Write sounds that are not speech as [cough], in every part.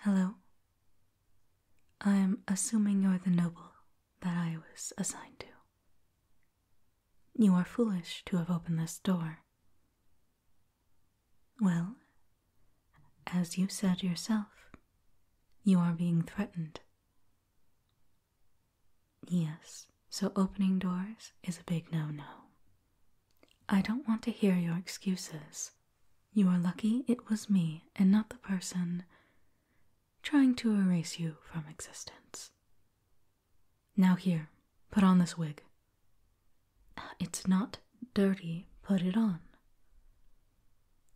Hello. I'm assuming you're the noble that I was assigned to. You are foolish to have opened this door. Well, as you said yourself, you are being threatened. Yes, so opening doors is a big no no. I don't want to hear your excuses. You are lucky it was me and not the person trying to erase you from existence. Now, here, put on this wig. It's not dirty, put it on.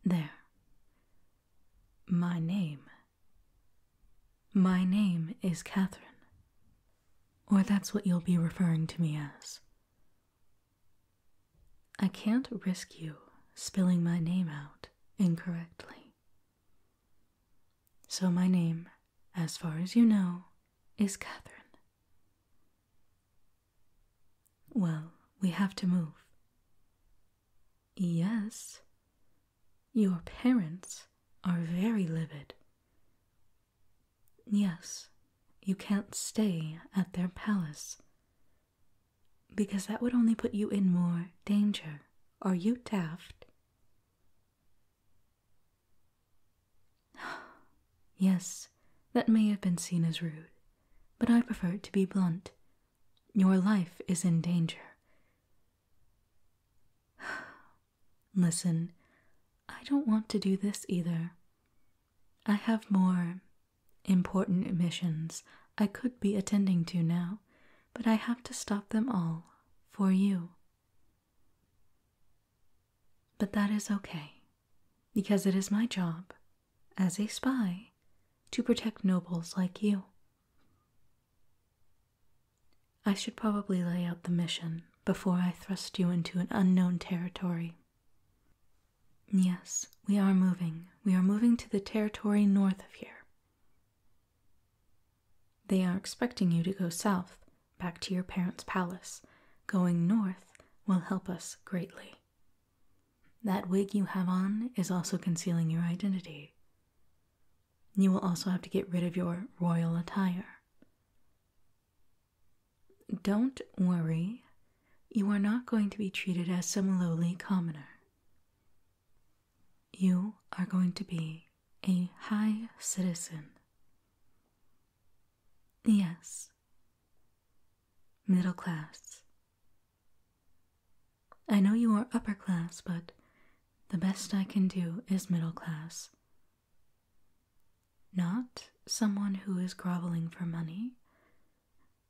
There. My name my name is Catherine. Or that's what you'll be referring to me as. I can't risk you spilling my name out incorrectly. So, my name, as far as you know, is Catherine. Well, we have to move. Yes, your parents are very livid. Yes, you can't stay at their palace. Because that would only put you in more danger. Are you daft? [sighs] yes, that may have been seen as rude, but I prefer it to be blunt. Your life is in danger. [sighs] Listen, I don't want to do this either. I have more important missions I could be attending to now, but I have to stop them all for you. But that is okay, because it is my job, as a spy, to protect nobles like you. I should probably lay out the mission before I thrust you into an unknown territory. Yes, we are moving. We are moving to the territory north of here. They are expecting you to go south, back to your parents' palace. Going north will help us greatly. That wig you have on is also concealing your identity, you will also have to get rid of your royal attire. Don't worry, you are not going to be treated as some lowly commoner. You are going to be a high citizen. Yes, middle class. I know you are upper class, but the best I can do is middle class. Not someone who is groveling for money,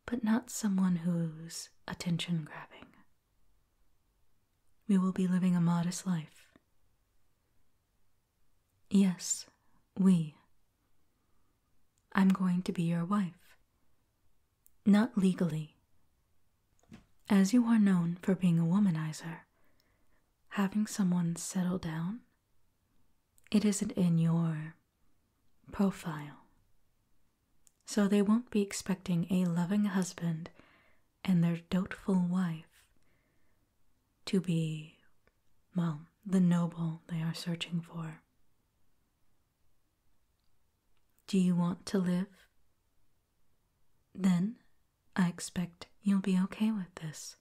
but not someone who's attention grabbing. We will be living a modest life. Yes, we. I'm going to be your wife. Not legally, as you are known for being a womanizer, having someone settle down, it isn't in your profile. So they won't be expecting a loving husband and their doubtful wife to be, well, the noble they are searching for. Do you want to live then I expect you'll be okay with this.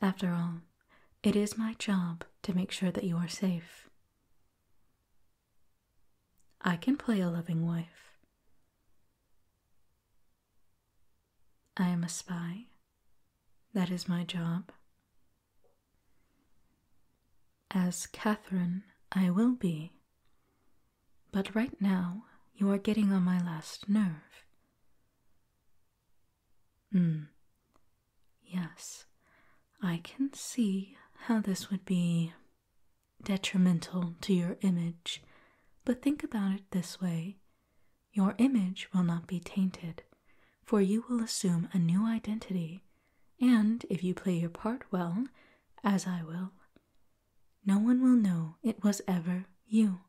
After all, it is my job to make sure that you are safe. I can play a loving wife. I am a spy. That is my job. As Catherine, I will be. But right now, you are getting on my last nerve. Hmm. Yes, I can see how this would be detrimental to your image, but think about it this way your image will not be tainted, for you will assume a new identity and if you play your part well, as I will, no one will know it was ever you.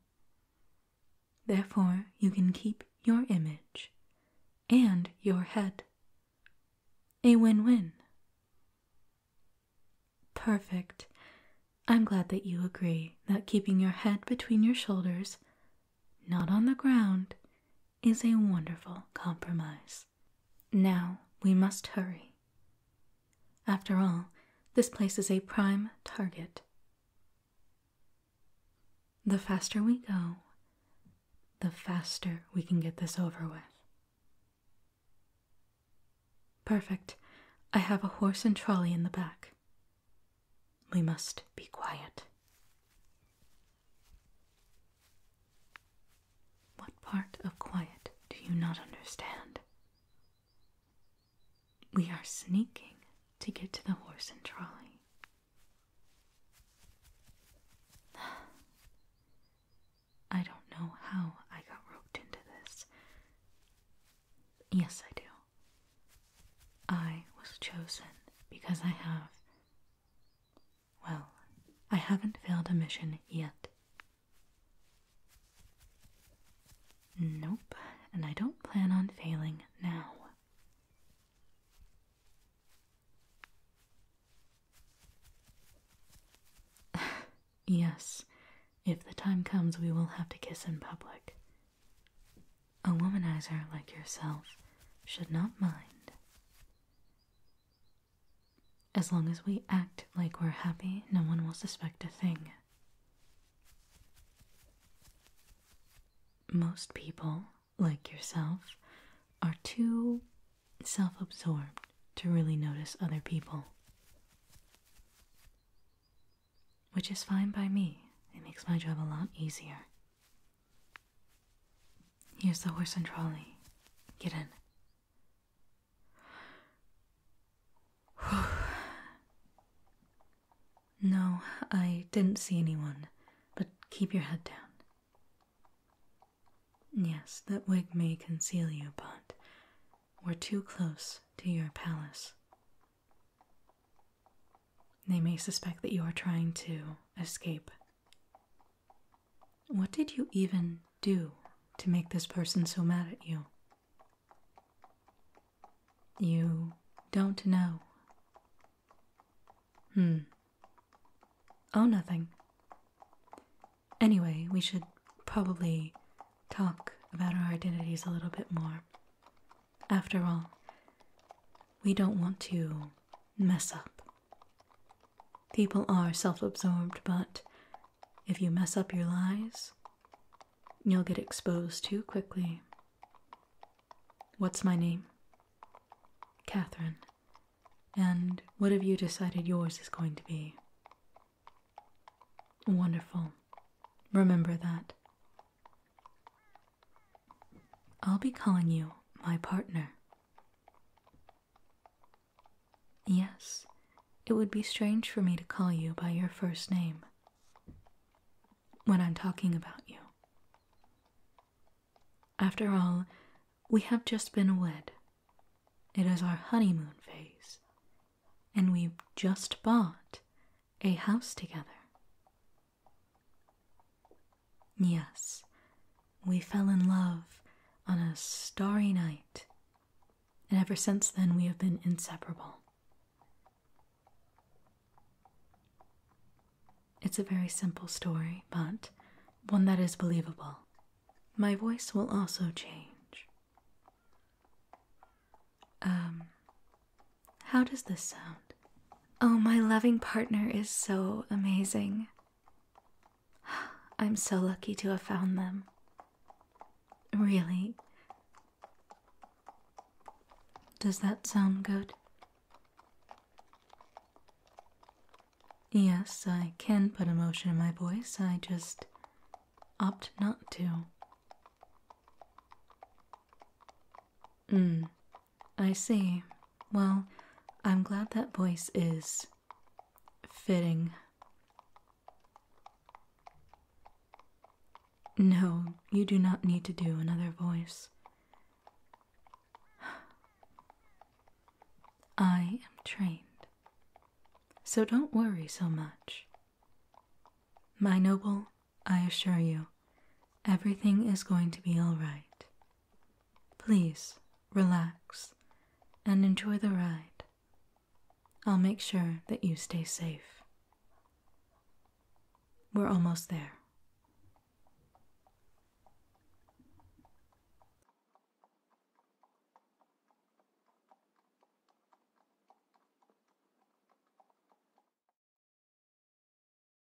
Therefore, you can keep your image and your head. A win win. Perfect. I'm glad that you agree that keeping your head between your shoulders, not on the ground, is a wonderful compromise. Now we must hurry. After all, this place is a prime target. The faster we go, the faster we can get this over with. Perfect. I have a horse and trolley in the back. We must be quiet. What part of quiet do you not understand? We are sneaking to get to the horse and trolley. [sighs] I don't know how I got roped into this. Yes, I do. I was chosen because I have well, I haven't failed a mission yet. Nope, and I don't plan on failing now. [sighs] yes, if the time comes, we will have to kiss in public. A womanizer like yourself should not mind. As long as we act like we're happy, no one will suspect a thing. Most people, like yourself, are too self absorbed to really notice other people. Which is fine by me, it makes my job a lot easier. Here's the horse and trolley. Get in. [sighs] No, I didn't see anyone, but keep your head down. Yes, that wig may conceal you, but we're too close to your palace. They may suspect that you are trying to escape what did you even do to make this person so mad at you? You don't know. Hmm. Oh, nothing. Anyway, we should probably talk about our identities a little bit more. After all, we don't want to mess up People are self absorbed, but if you mess up your lies, you'll get exposed too quickly. What's my name? Catherine. And what have you decided yours is going to be? Wonderful. Remember that. I'll be calling you my partner. Yes, it would be strange for me to call you by your first name when I'm talking about you. After all, we have just been wed. It is our honeymoon phase, and we've just bought a house together. Yes, we fell in love on a starry night, and ever since then we have been inseparable. It's a very simple story, but one that is believable. My voice will also change. Um, how does this sound? Oh, my loving partner is so amazing. I'm so lucky to have found them. Really. Does that sound good? Yes, I can put emotion in my voice, I just opt not to. Mm, I see. Well, I'm glad that voice is fitting. No, you do not need to do another voice. I am trained, so don't worry so much. My noble, I assure you, everything is going to be all right. Please relax and enjoy the ride. I'll make sure that you stay safe. We're almost there.